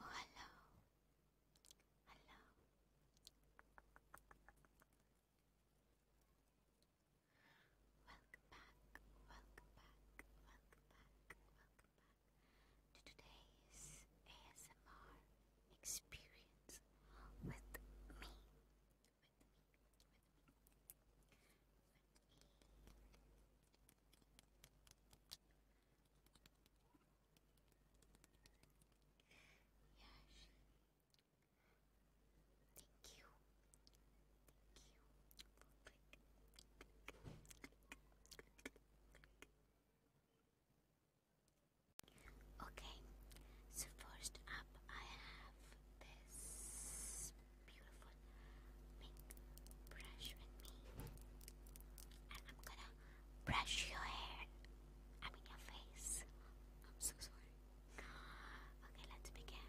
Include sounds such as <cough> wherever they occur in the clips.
Oh, hello. Hello. Welcome back, welcome back, welcome back, welcome back to today's ASMR experience with me. Yes. Thank you. Thank you. Okay, so first up I have this beautiful beautiful brush with me. And I'm gonna brush your hair. I mean your face. I'm so sorry. Okay, let's begin.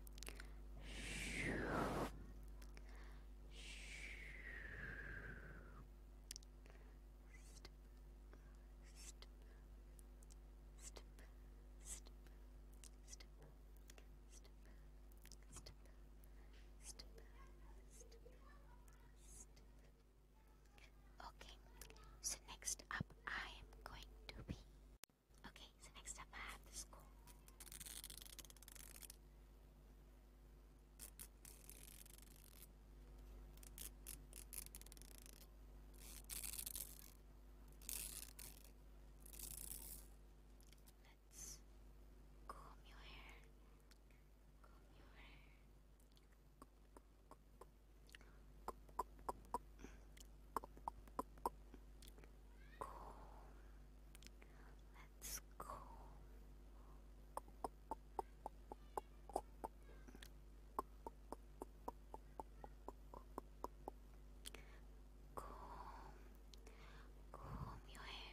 Okay, so next up I am going to be Okay, so next up I have the school. Let's comb your hair. Comb your hair. Let's go. Comb, comb your hair. Let's Comb your hair.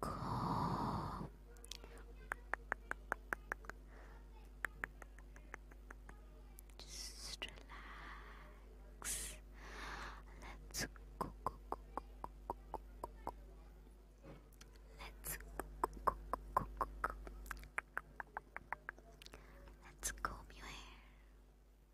Cool. Just relax. Let's go. Let's go. Let's comb your hair.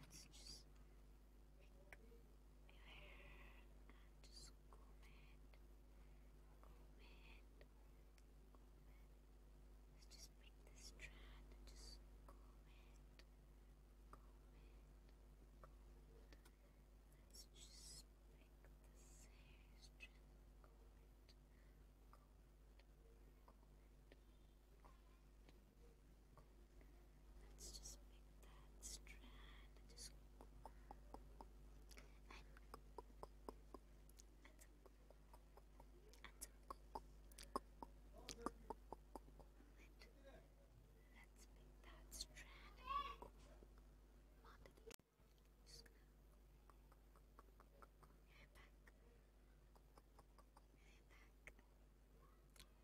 let's just pick a hair and just comb it, comb Let's just pick this strand just comb it, comb it, Let's just pick this hair strand, comb it, comb it, Let's just pick that strand and just and Let's pick that strand and onto the just gonna back back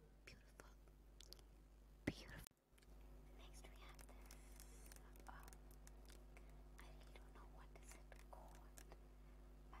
back, back. Beautiful, beautiful. Next we have this. I really don't know what is it called, but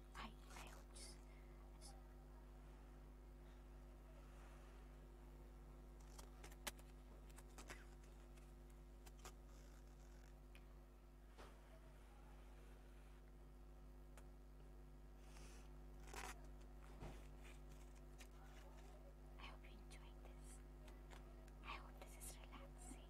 I hope you enjoyed this. I hope this is relaxing.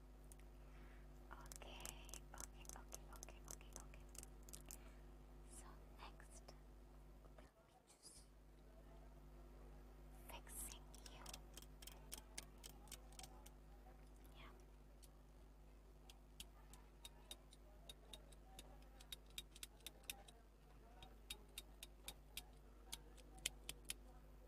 Okay, okay, okay, okay, okay, okay. So next will be just fixing you. Yeah. Okay.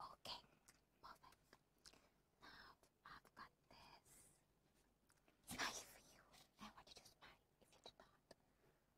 Okay, perfect. Now I've got this knife for you. I want you to smile if you do not.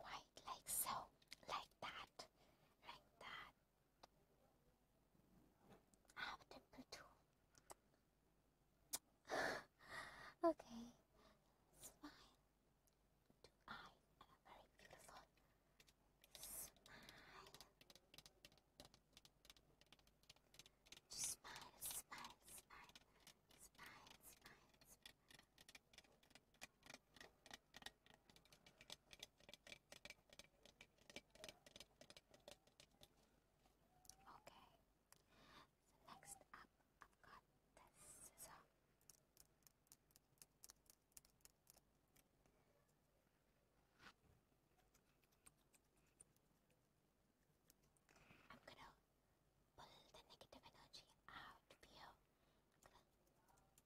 White like so, like that, like that. I have <gasps> okay, it's Do I am a very beautiful smile, smile, smile, smile, smile, smile. Okay. So next up, I've got this scissor. I'm gonna pull the negative energy out of you.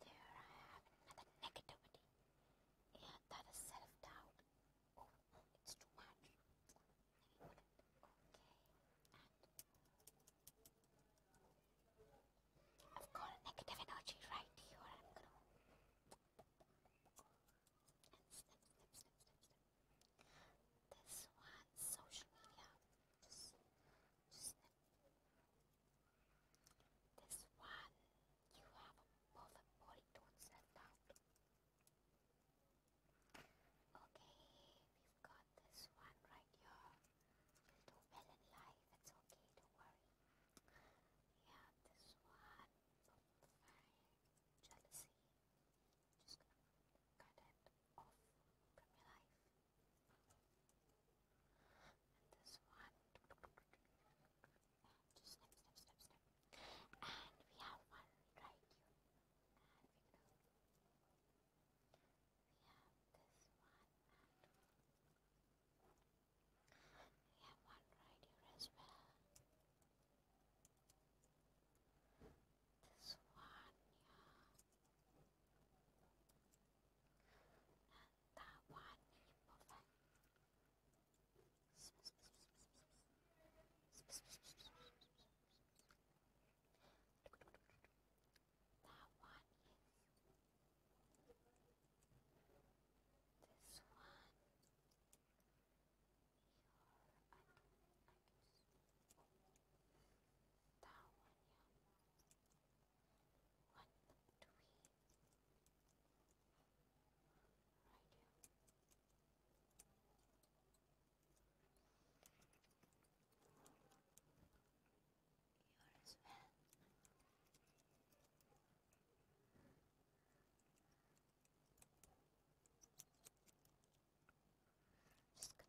There I have another negativity. Yeah, that is self doubt. Oh, it's too much. Okay. I've got negative energy right here. And This one, social media. This one, you have a perfect body tone set out. Okay, we've got this one right here. you do well in life, it's okay, don't worry. Yeah, this one, jealousy. Just gonna cut it off from your life and this one. And we have one right here. And We have this one and we have one right here as well. This one, yeah. 大碗一部分。That one is this one. Your, I can, that one, yeah. What do right here? Here as well. Just gonna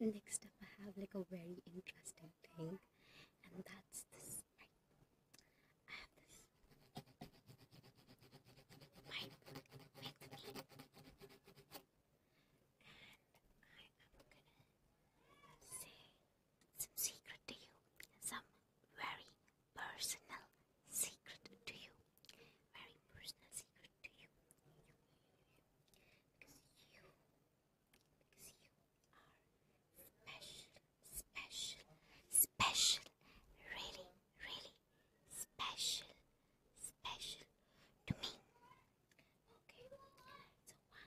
next up I have like a very interesting thing and that's this I have this pipe and I am gonna say some secret to you, some very personal secret to you, very personal secret to you, you, you, you. because you because you are special, special, special, really, really special, special to me. Okay, so one, two, three.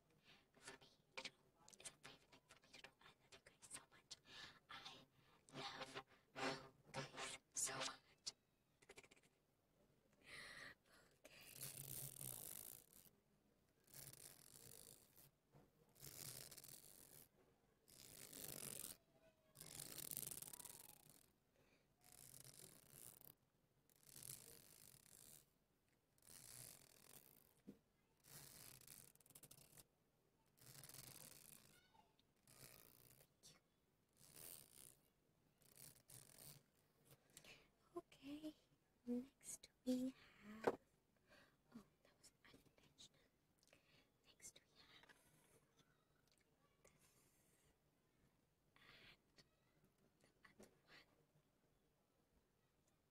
for me to do. It's a favorite thing for me to do. I love you guys so much. I love you guys so much. okay. Okay, next we have. Oh, that was unintentional. Next we have this and the other one.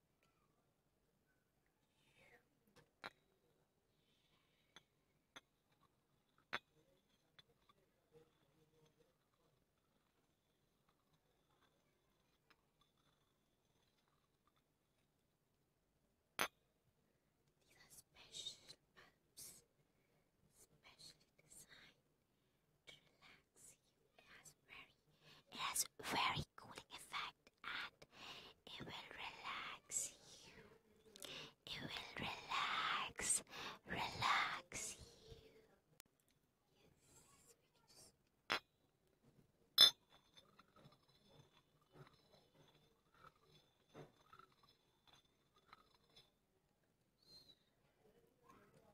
These are special bulbs, specially designed to relax it has very, it has very cooling effect, and it will relax you. It will relax, relax you. Yes.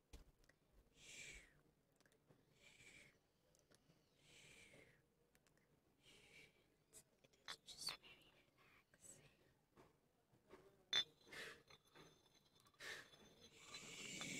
It's, it is just very relaxing. We're gonna go very slow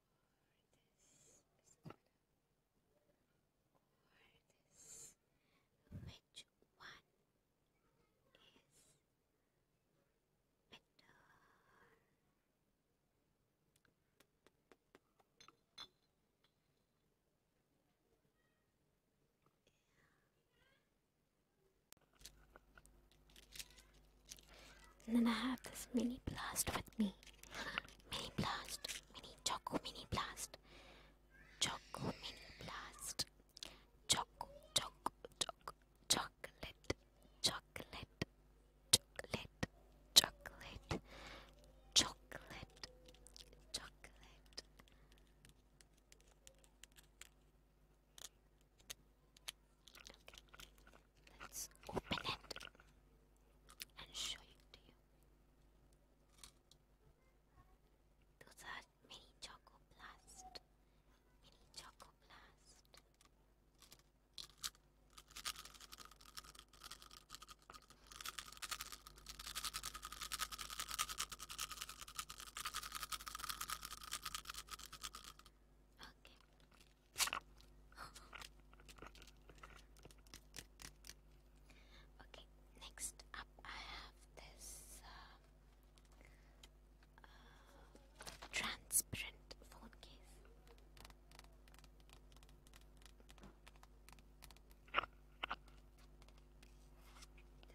this or this which one is better yeah. And then I have this mini blast with me. <laughs> Mini blast. Mini choco mini blast. Choco mini blast. Choco choco choco chocolate chocolate chocolate chocolate chocolate chocolate Let's open it and show it to you. Those are mini choco blast. Mini choco blast. Okay, okay, next up I have this uh, uh, transparent phone case. This one's already got maybe.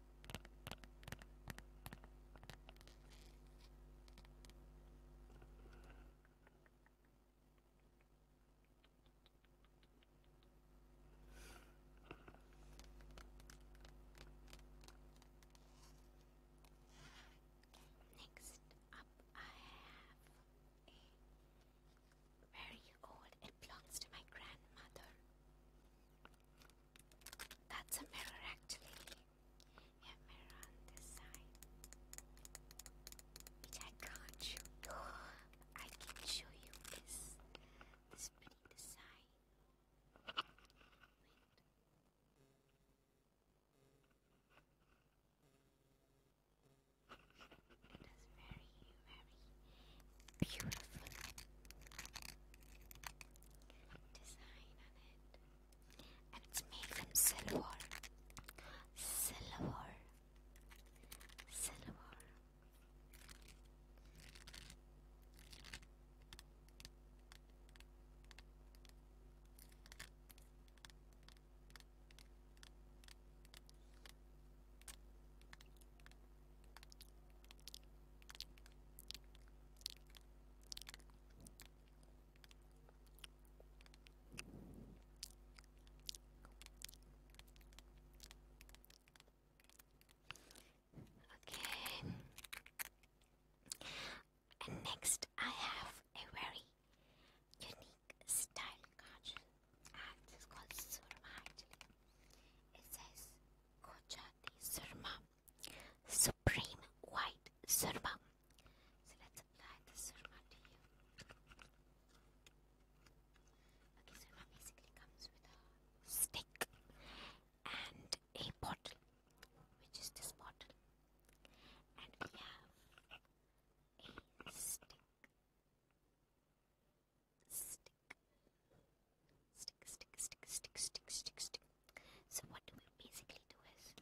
Next up, I have a very old. It belongs to my grandmother. That's a mirror, actually. Yeah, mirror on this side. Which I can't show you. I can show you this. This pretty design. It was very, very beautiful design on it. And it's made from silver. Silver. Silver. Okay. And next, I have a very unique style card and it's called surma actually. It says Gujarati surma, supreme white surma. So let's apply the surma to you. Okay, surma basically comes with a stick and a bottle, which is this bottle, and we have a stick stick, stick, stick, stick, stick, stick, stick, stick. So what do we basically do is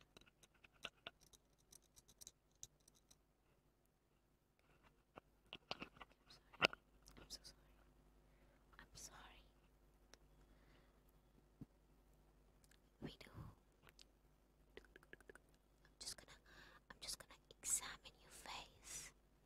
I'm so sorry. I'm so sorry. I'm sorry. We do. I'm just gonna. I'm just gonna examine your face.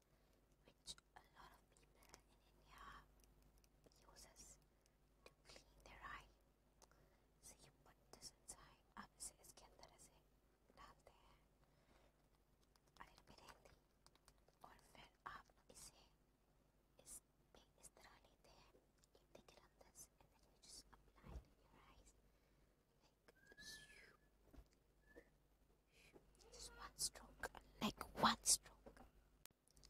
which a lot of people in India uses to clean their eye. So you put this inside. Ah, आप इसे इसके अंदर ऐसे डालते हैं a and then you just apply it in your eyes just one stroke, like one stroke. Okay.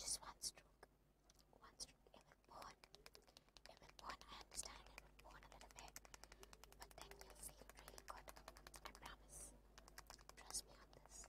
just one stroke. One stroke. It will burn. It I understand it will a little bit, but then you'll feel really good. I promise. Trust me on this.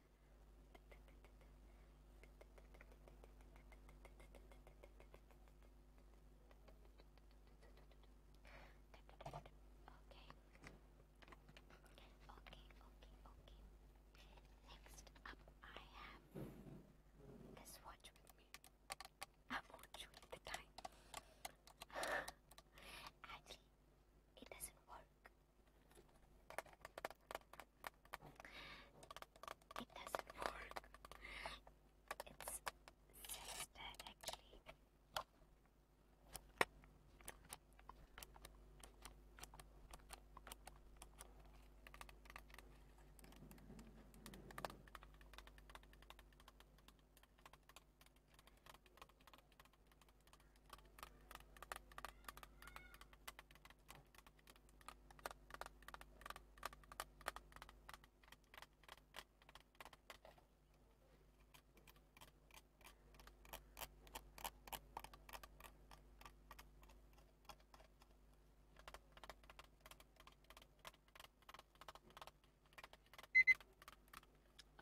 Okay. Okay, okay, okay. Next up, I have this watch with me. I won't show you the time. <sighs> Actually, it doesn't work. It doesn't work. It's says actually.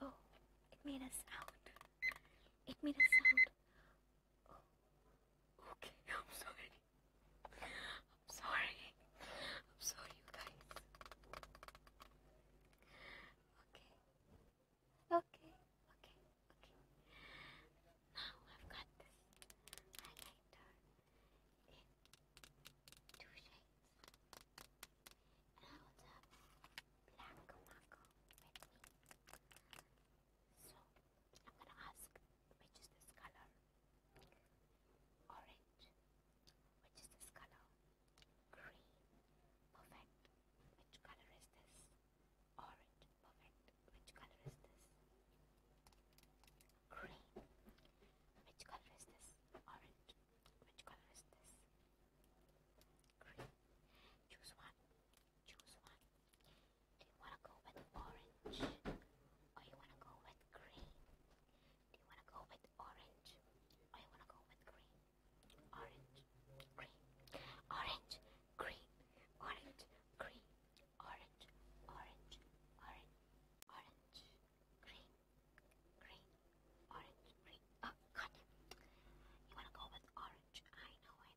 Oh, it made a sound. It made a sound. Okay, <laughs> I'm sorry. I'm sorry. I'm sorry, you guys. Okay. Okay, okay, okay. Now I've got this highlighter in two shades. And I also have black marker with me. So I'm gonna ask which is this color? Orange. Which is this color? Green. Perfect. Which color is this? Orange. Perfect. Which color is this? Green. Which color is this? Orange. Which color is this? Green. Choose one choose one. Do you want to go with orange? Or you want to go with green? Do you want to go with orange? Or you want to go with green? Orange, green, orange, green, orange, green, orange, orange, orange, orange, green, green, orange, green. Oh, God. You want to go with orange? I know, it.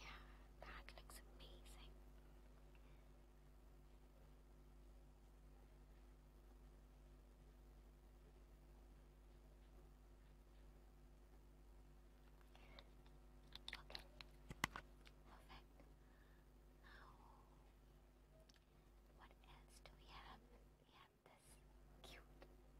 Yeah, that looks amazing. Okay, perfect. Now what else do we have? We have this cute bottle.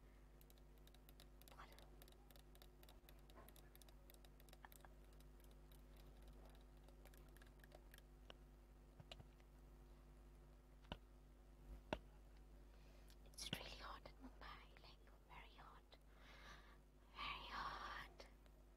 It's really hot in Mumbai, like very hot. Very hot.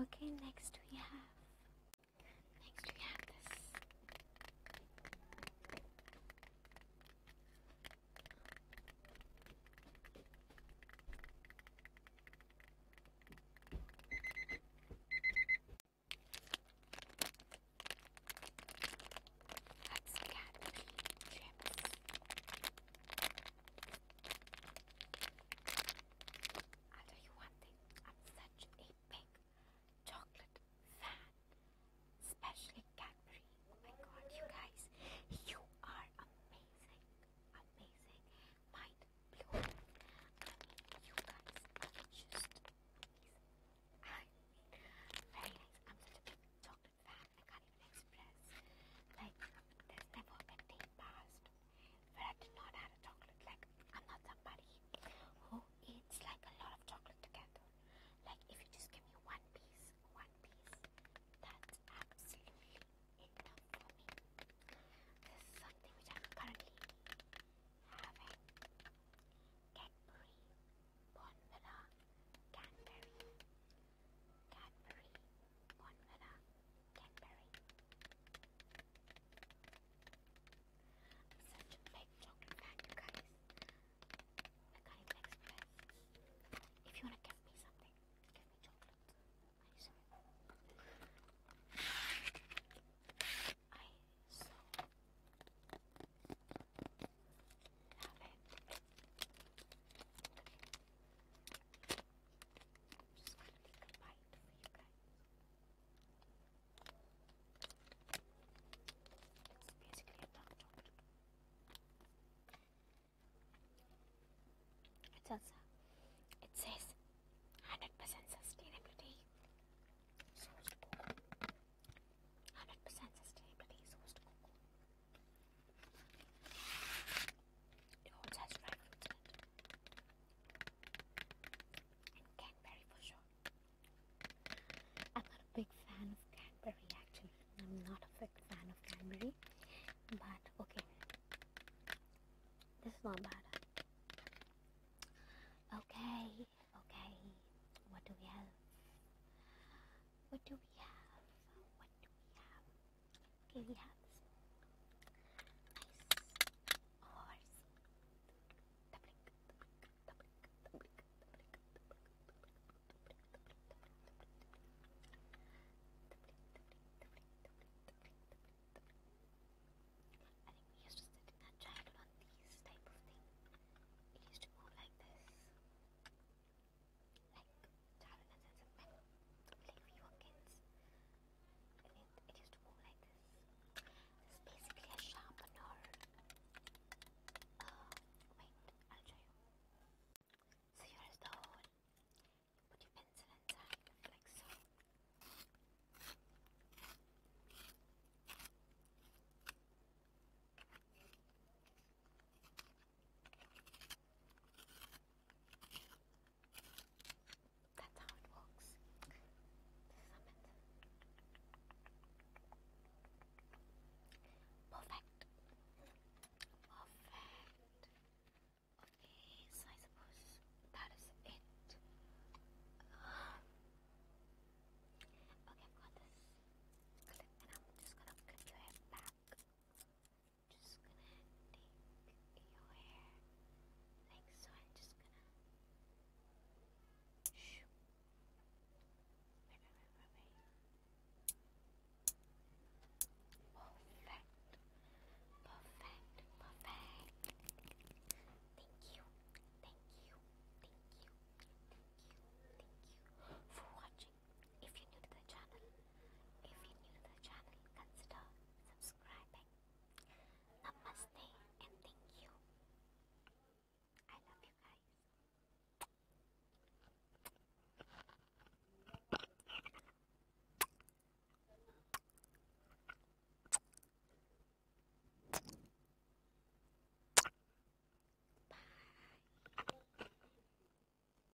Okay, next we have next we have this Let's get the chips. I'll tell you one thing, I'm such a big chocolate fan, especially Cadbury. Oh my god, you guys, you are amazing, amazing, mind blowing. I mean, you guys are just I mean, very nice. I'm such a big chocolate fan even Like, there's never a day passed where I did not have a chocolate. Like, I'm not somebody who eats like a lot of chocolate together. Like, if you just give me one piece, one piece, that's absolutely enough for me. This is something which I'm currently having. Cadbury, Bonvilla, Canberry, Cadbury, Bonvera, Cadbury. Such a chocolate you guys. I can't even If you wanna give me something, give me chocolate. I so love it. Just want to make a bite for you guys. It's basically a tongue chocolate. It says, it says 100% sustainability sourced cocoa. 100% sustainability sourced cocoa. It also has dry fruits it. And Cadbury for sure. I'm not a big fan of Cadbury actually. I'm not a big fan of Cadbury. But okay. This is not bad. Okay, okay. What do we have? What do we have? What do we have? Okay, we have this nice horse. I think we used to sit in our childhood on these type of things. It used to move like this like Charunas as a pet, like we were kids. And it, it used to move like this. basically a sharpener. Uh, wait, I'll show you. So here is the hole. put your pencil inside, like so. That's how it works. Perfect. Perfect. Okay, so I suppose that is it. <gasps> okay, I've got this and I'm just gonna clip your hair back just gonna take your hair like so. I'm just gonna. Shoo. Perfect. Perfect. Perfect. Thank you. Thank you. Thank you. Thank you. Thank you for watching if you're new to the channel, if you're new to the channel, consider subscribing. Namaste and thank you. I love you guys. Bye.